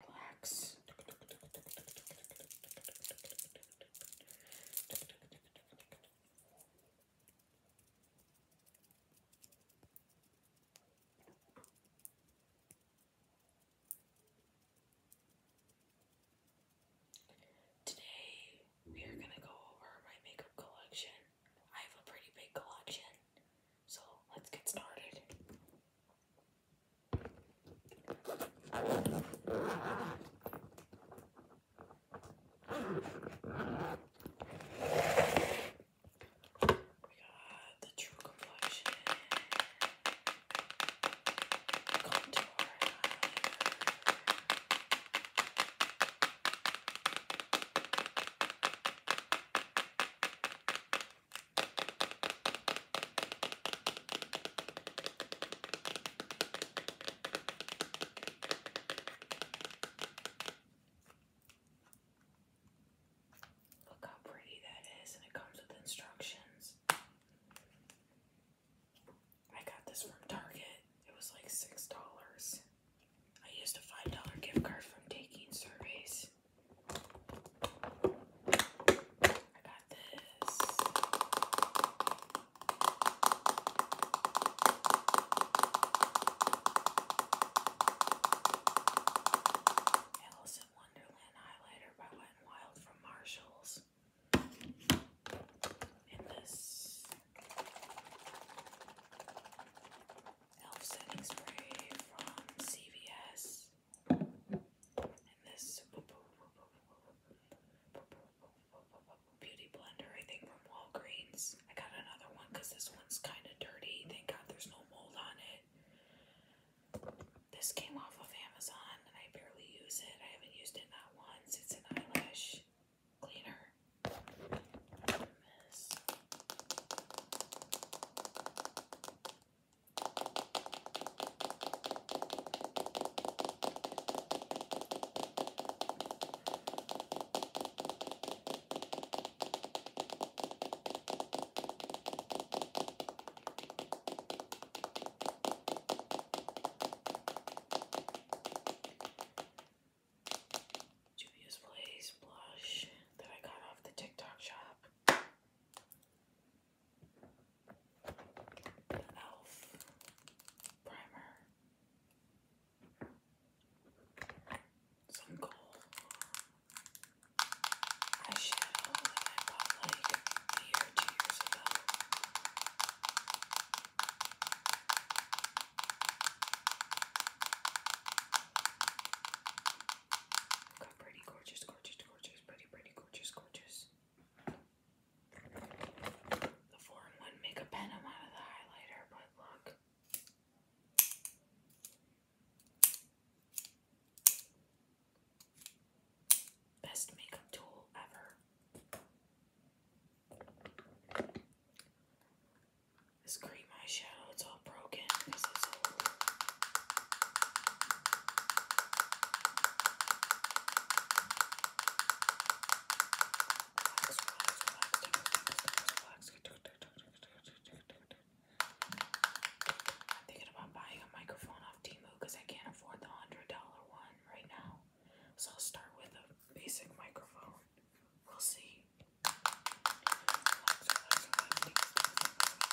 Relax. Today, we are going to go over my makeup collection. I have a pretty big collection, so let's get started got the True Complexion Contour Highlighter. Look how pretty that is, and it comes with instructions. I got this from Target. It was like $6. I used a $5 gift card from taking surveys this. I Wonderland highlighter by Wet n Wild from Marshalls. And this Elf setting spray from CVS this beauty blender, I think from Walgreens. I got another one because this one's kind of dirty. Thank God there's no mold on it. This came off of Amazon and I barely use it. I haven't used it not once. It's an eyelash cleaner. Juvia's Blaze blush that I got off the TikTok shop the e.l.f. primer. Some gold eyeshadow that I bought like a year two years ago. Got pretty gorgeous, gorgeous, gorgeous pretty, pretty gorgeous, gorgeous. The 4 in 1 makeup pen, I'm out of the highlighter, but look. Best makeup tool ever. This cream eyeshadow, it's all broken because it's old. I'm thinking about buying a microphone off Timu because I can't afford the $100 one right now. So I'll start with a basic microphone. We'll see. Relax, relax, relax.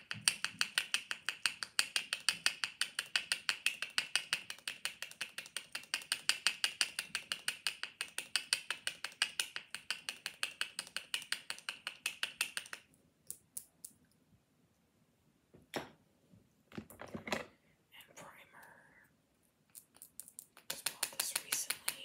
And primer. Just bought this recently.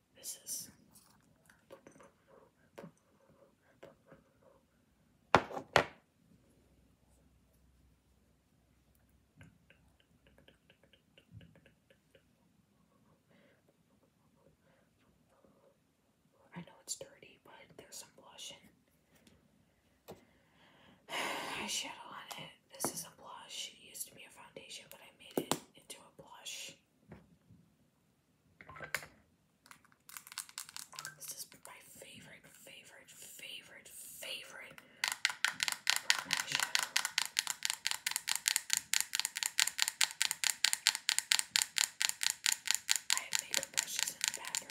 This is. I know it's dirty, but there's some blush and eyeshadow on it. This is a blush. It used to be a foundation, but I made it into a blush. This is my favorite, favorite, favorite, favorite I have makeup brushes in the bathroom,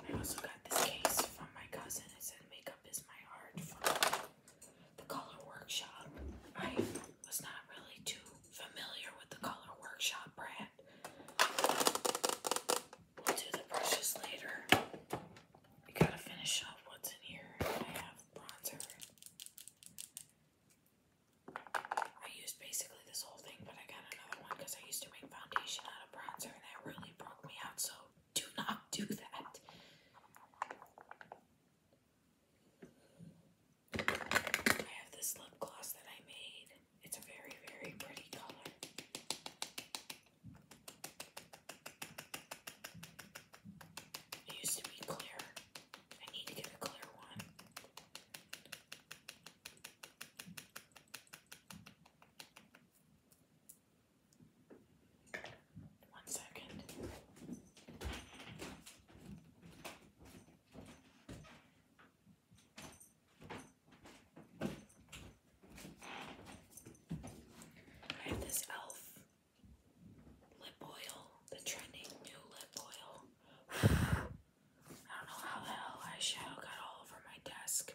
I also got this case from my cousin. It said makeup is my art from the color workshop. I was not really too familiar with the color workshop brand. We'll do the brushes later we gotta finish up what's in here. I have bronzer. I used basically this whole thing, but I got another one because I used to make foundation out of bronzer and that really broke me out, so do not do that. I have this lip gloss that I made. It's a very, very pretty color. It used to be clear. I need to get a clear one. One second. I have this elf lip oil, the trending new lip oil. I don't know how the hell eyeshadow got all over my desk.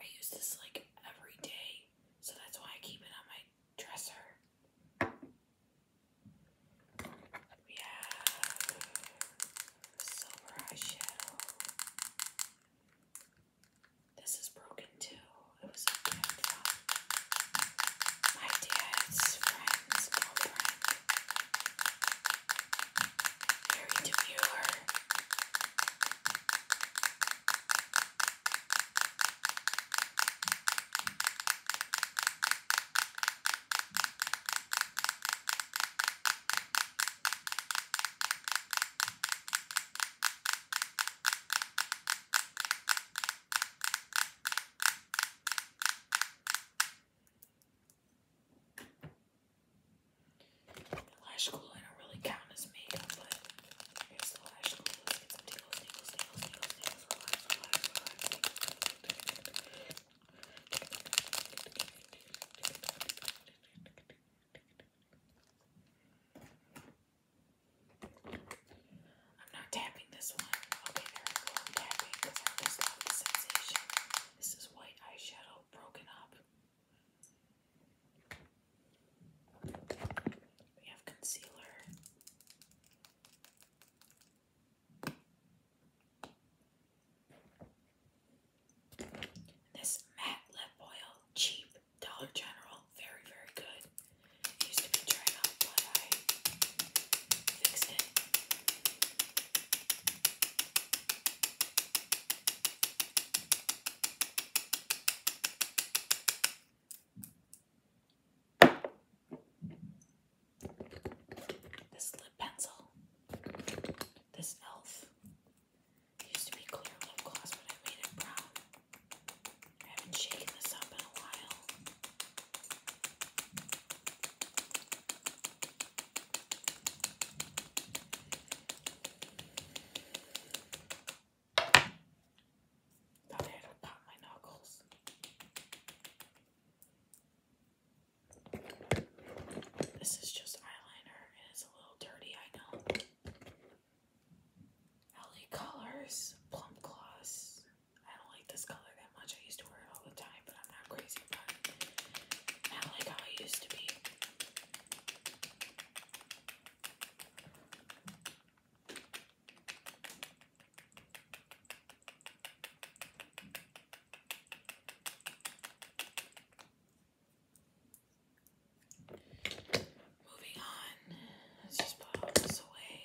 I use this like every day, so that's why I keep it on my dresser. We silver eyeshadow. This is broken too. It was a gift my dad's friend's girlfriend. Very demure. The lash glue I don't really count as makeup, but here's the lash glue. I'm not tapping this one. Okay, there I go. I'm tapping because I just love the sensation. This is white eyeshadow broken up. We have concealer. This matte lip oil, cheap, Dollar General, very, very good. used to be dried out, but I fixed it. This lip pencil, this elf, it used to be clear lip gloss, but I made it brown. I haven't shaken this up in a while. Thought I had to my knuckles. This is just eyeliner and it's a little dirty, I know. LA Colors Plum Gloss. I don't like this color that much. I used to wear it all the time, but I'm not crazy Not like I used to be. Moving on, let's just put all this away.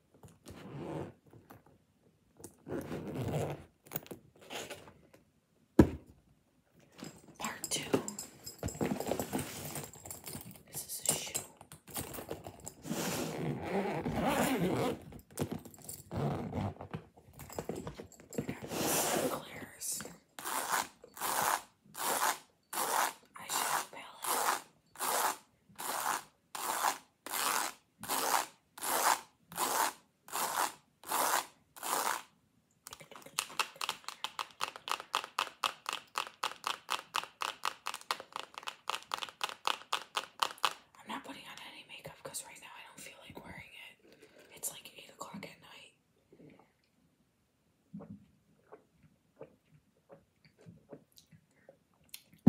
Part two. This is a shoe. Clears. Eyeshadow palette. I'm not putting on any makeup because right now I don't feel like wearing it. It's like 8 o'clock at night.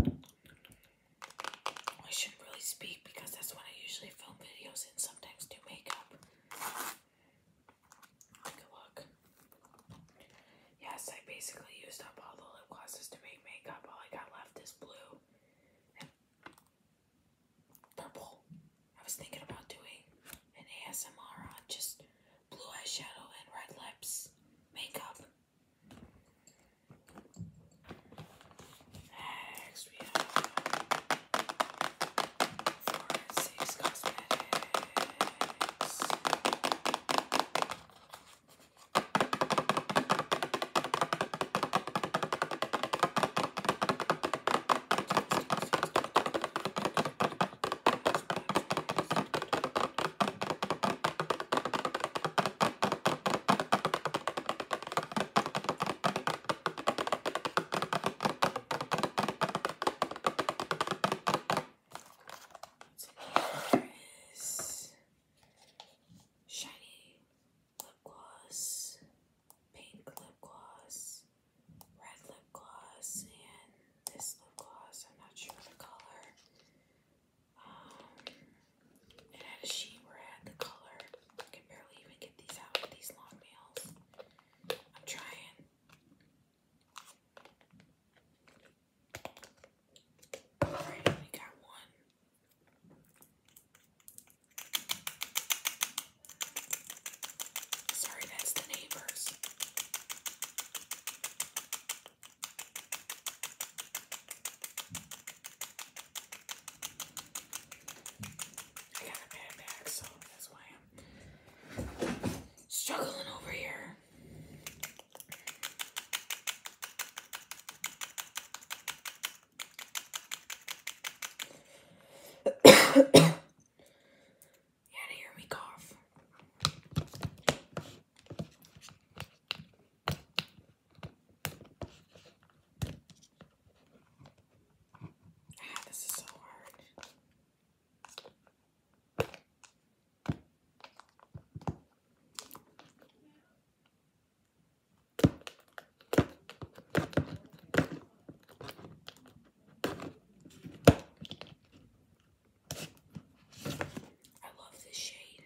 I shouldn't really speak because that's when I usually film videos and sometimes do makeup. look. Yes, I basically used up all the lip glosses to make makeup. All I got left is blue purple. I was thinking about doing an ASMR on just blue eyeshadow and red lips makeup. Next we have Forensics Cosmetics. Next here is shiny lip gloss, pink lip gloss, red lip gloss, and this lip gloss. I'm not sure the color it had a sheet where had the color. I can barely even get these out these long nails. I'm trying. Alright, we got one. Sorry, that's the neighbors. I got a bad back, so that's why I'm struggling over here. you had to hear me cough. Ah, this is so hard. I love this shade.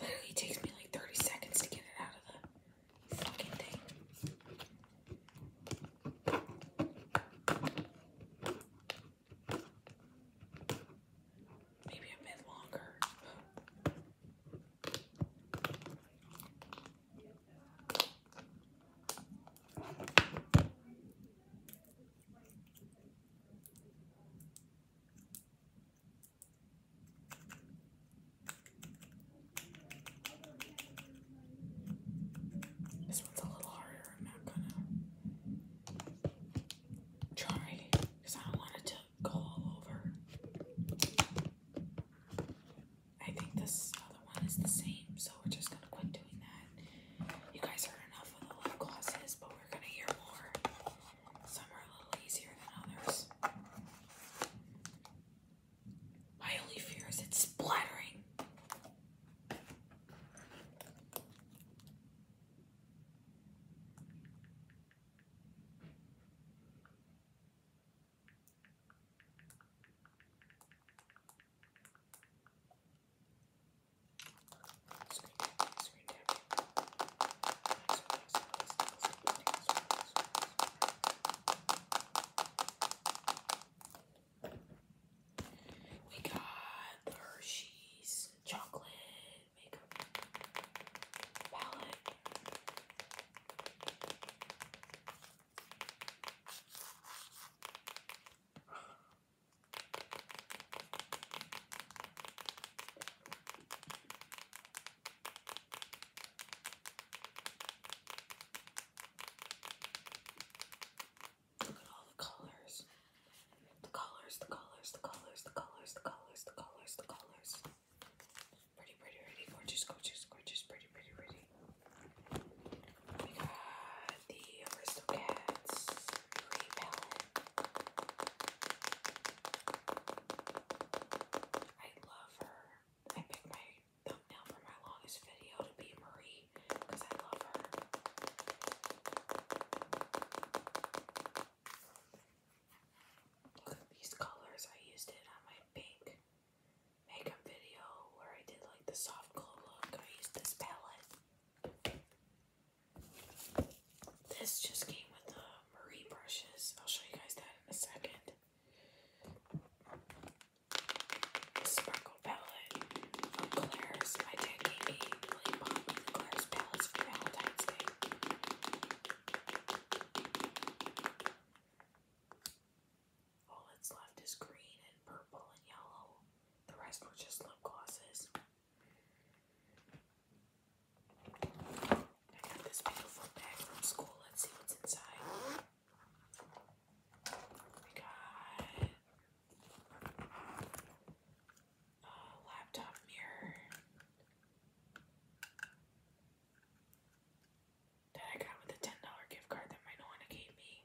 Literally takes me like 30 seconds to get it out of the fucking thing. Maybe a bit longer. This one's a little harder. I'm not gonna try because I don't want it to go all over. I think this other one is the same, so we're just gonna quit doing that. You guys heard enough of the lip glosses, but we're gonna hear more. Some are a little easier than others. My only fear is it's splattering. We got the Hershey's chocolate makeup palette. Look at all the colors. The colors, the colors, the colors, the colors, the colors, the colors, the colors. Pretty, pretty, pretty. Gorgeous, gorgeous, gorgeous. Pretty, pretty, pretty. We got the Aristocats Green Palette. I love her. I picked my thumbnail for my longest video to be Marie because I love her. Look at these colors. I used it on my pink makeup video where I did like the soft glow look. I used this palette. This just came with the uh, Marie brushes. I'll show you guys that in a second. sparkle palette Claire's. My dad gave me lip Claire's palettes for Valentine's Day. All that's left is green and purple and yellow. The rest were just lip glosses. I got this beautiful bag from school. Let's see what's inside. We got a uh, laptop mirror that I got with a $10 gift card that my Nona gave me.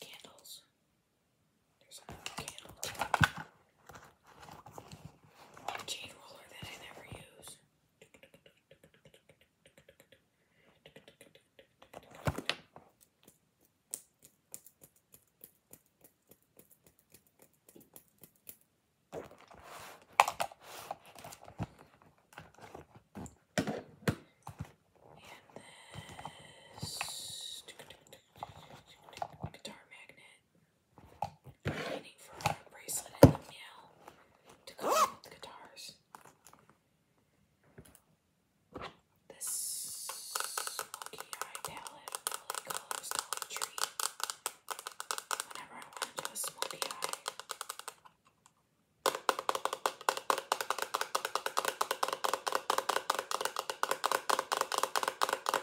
Candles. There's another candle roller that I never use. And this guitar magnet. Waiting for a bracelet in the mail to come with guitars. This smoky eye palette with all the colors Dollar Tree. Whenever I want to do a smoky eye.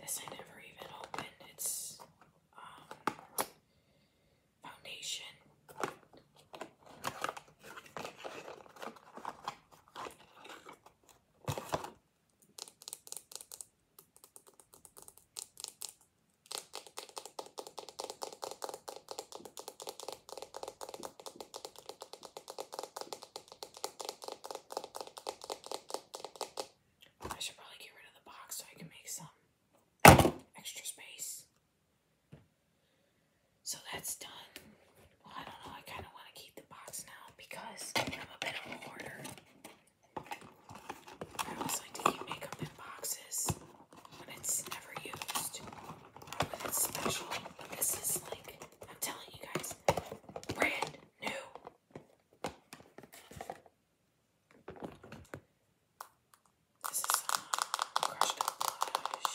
This I never even opened. It's um, foundation. I should probably get rid of the box so I can make some extra space. So that's done. Well, I don't know. I kind of want to keep the box now because I'm a bit hoarder. I always like to keep makeup in boxes when it's never used or when it's this like, I'm telling you guys, brand new. This is crushed up blush.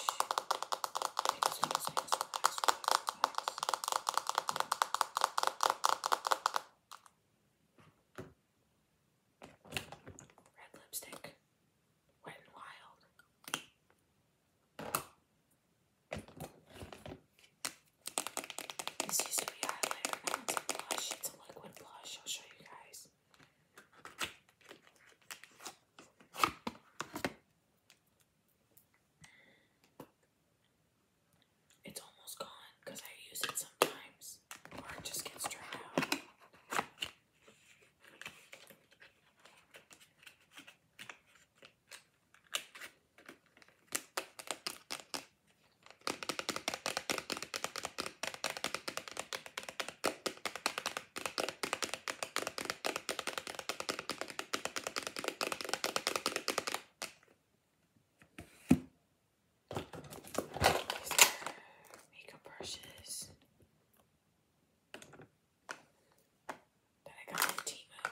Red lipstick. Wet and wild. This used to highlighter, now it's blush. It's a liquid blush. I'll show you guys. It's almost gone because I use it sometimes, or it just gets dried out makeup brushes that I got from Timo.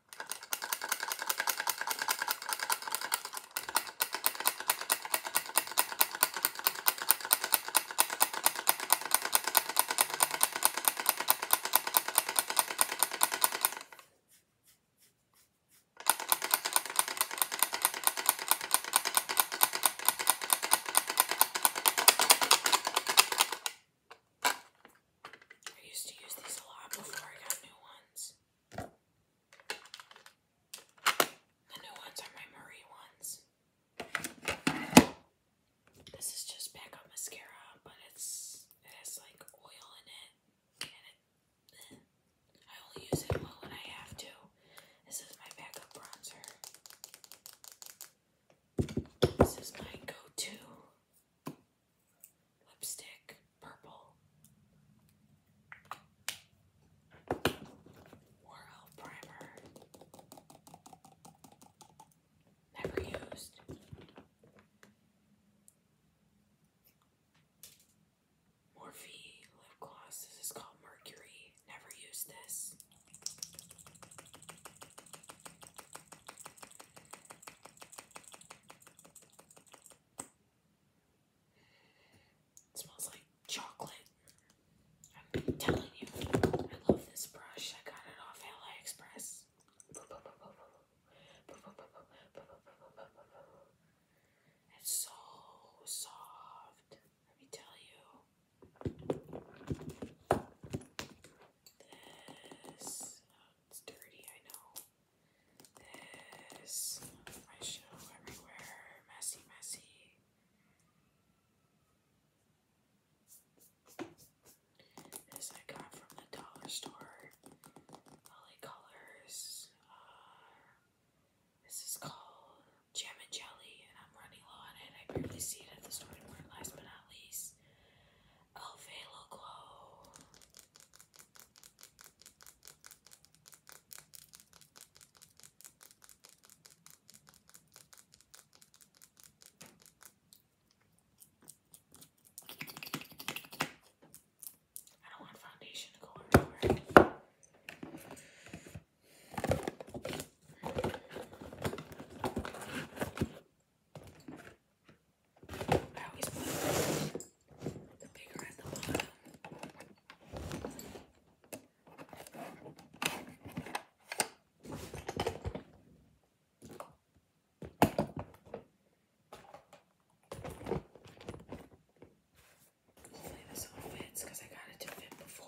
I used to use these a lot before I got new ones. The new ones are my Marie ones. This is just back up mascara, but it's it has like oil in it. Eh, I only use it when I have to. This is my backup bronzer. This is my go-to lipstick, purple. World primer. Never used. Morphe lip gloss. This is called Mercury. Never used this. It smells like chocolate. I'm telling you, I love this brush. I got it off AliExpress. It's so soft. Let me tell you. This. Oh, it's dirty, I know. This, my show everywhere, messy, messy. This I got from the dollar store, Holly Colors. Uh, this is called Jam and Jelly, and I'm running low on it. I barely see it at the store anymore. Last but not least, Elf Glow. I don't want foundation to go everywhere. I always put Hopefully this one fits because I got it to fit before.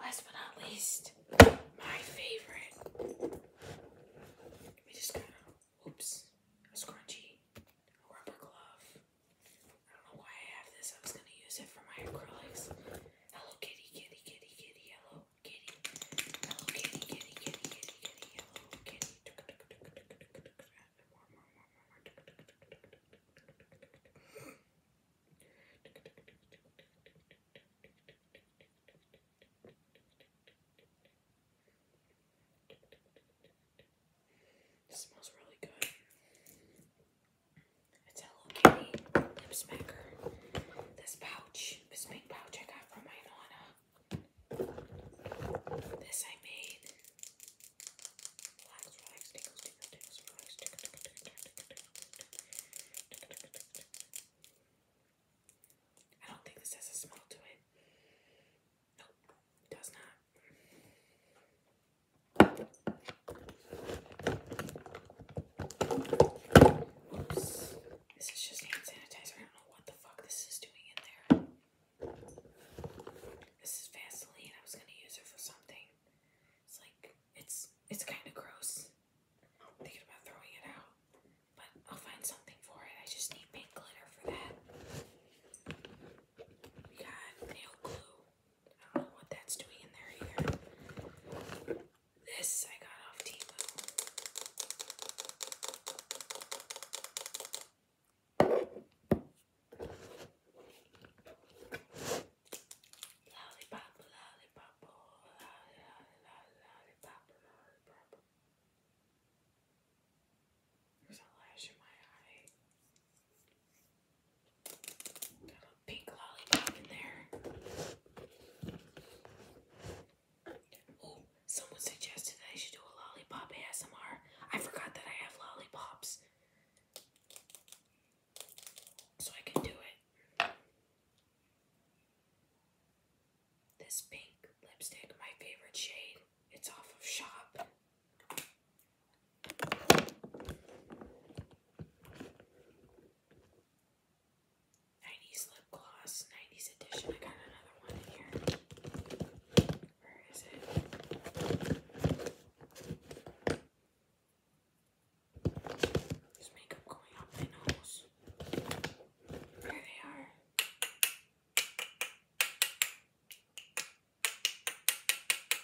Last but not least, my favorite. We just got, oops, a scrunchie, a rubber glove, I don't know why I have this. I was gonna use it for my acrylics. Hello kitty, kitty, kitty, kitty, hello kitty. Hello kitty, kitty, kitty, kitty, kitty, hello kitty. More, more, more, more, more. It smells really good. It's Hello Kitty lip smacker. This pouch, this pink pouch I got from my This I made. I don't think this has a smell to it. Nope, it does not. Oops. This is just hand sanitizer. I don't know what the fuck this is doing in there. This is Vaseline. I was gonna use it for something. It's like it's it's kind of gross. thinking about throwing it out, but I'll find something for it. I just need pink glitter for that. We got nail glue. I don't know what that's doing in there either. This I got off Temu. Oh, lollipop, lollipop, lollipop, there's a lash in my eye. Got a pink lollipop in there. Oh, someone suggested that I should do a lollipop ASMR. I forgot that I have lollipops. So I can do it. This pink lipstick, my favorite shade. It's off of shop. Nineties lip gloss, nineties edition. I got another one in here. Where is it? There's makeup going up my nose. There they are. Tick, tick,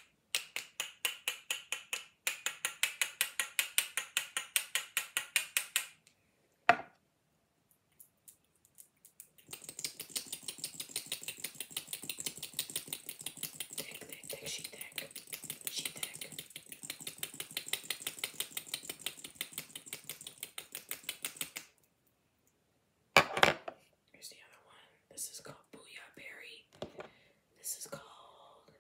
tick, she tick, she tick. Here's the other one. This is called Booyah Berry. This is called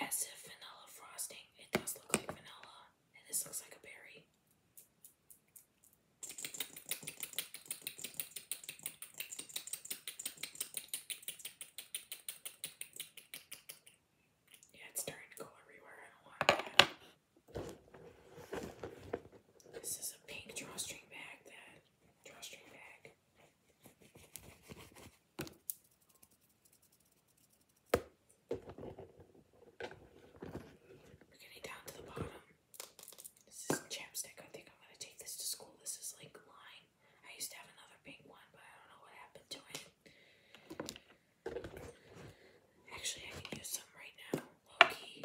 As If Vanilla Frosting. It does look like vanilla, and this looks like a berry. Yeah, it's starting to go everywhere. I don't want that. This is a pink drawstring bag that we're getting down to the bottom. This is chapstick. I think I'm gonna take this to school. This is like line. I used to have another pink one, but I don't know what happened to it. Actually, I can use some right now. Low key.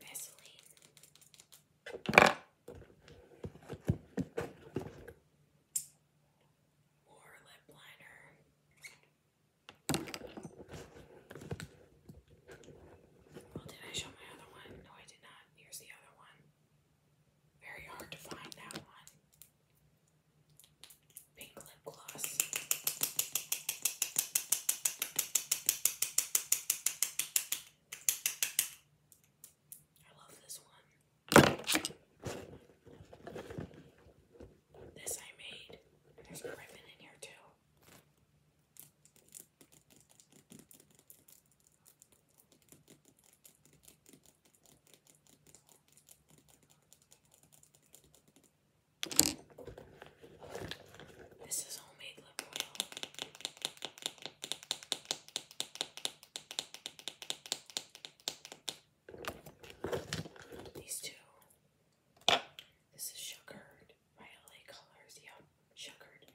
Vaseline. More lip liner. Well, did I show my other one? No, I did not. Here's the other one. Very hard to find that one. Pink lip gloss. I love this one. This I made. There's a ribbon in here too. This is homemade lip oil. These two. This is sugared by LA Colors. Yep, sugared.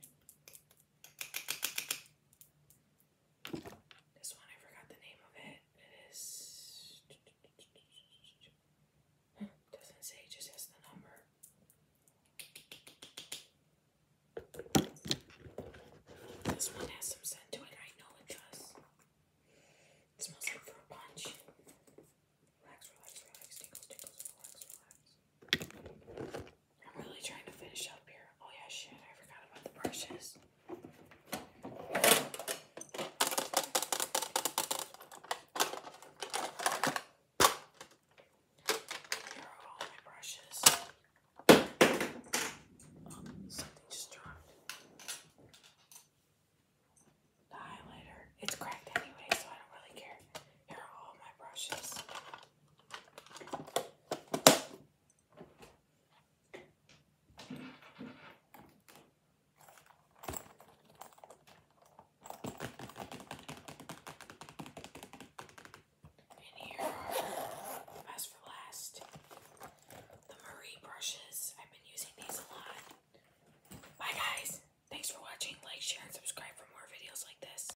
This one, I forgot the name of it. It is. Doesn't say, just has the number. This one has some scent to it. I know it does. It smells like fruit punch. Relax, relax, relax. Tickles, tickles, relax, relax. I'm really trying to finish up here. Oh yeah, shit, I forgot about the brushes. Here are all my brushes. Oh, something just dropped. The highlighter. It's cracked anyway, so I don't really care. Here are all my brushes. And here are, as for last, the Marie brushes. I've been using these a lot. Bye, guys. Thanks for watching. Like, share, and subscribe for more videos like this.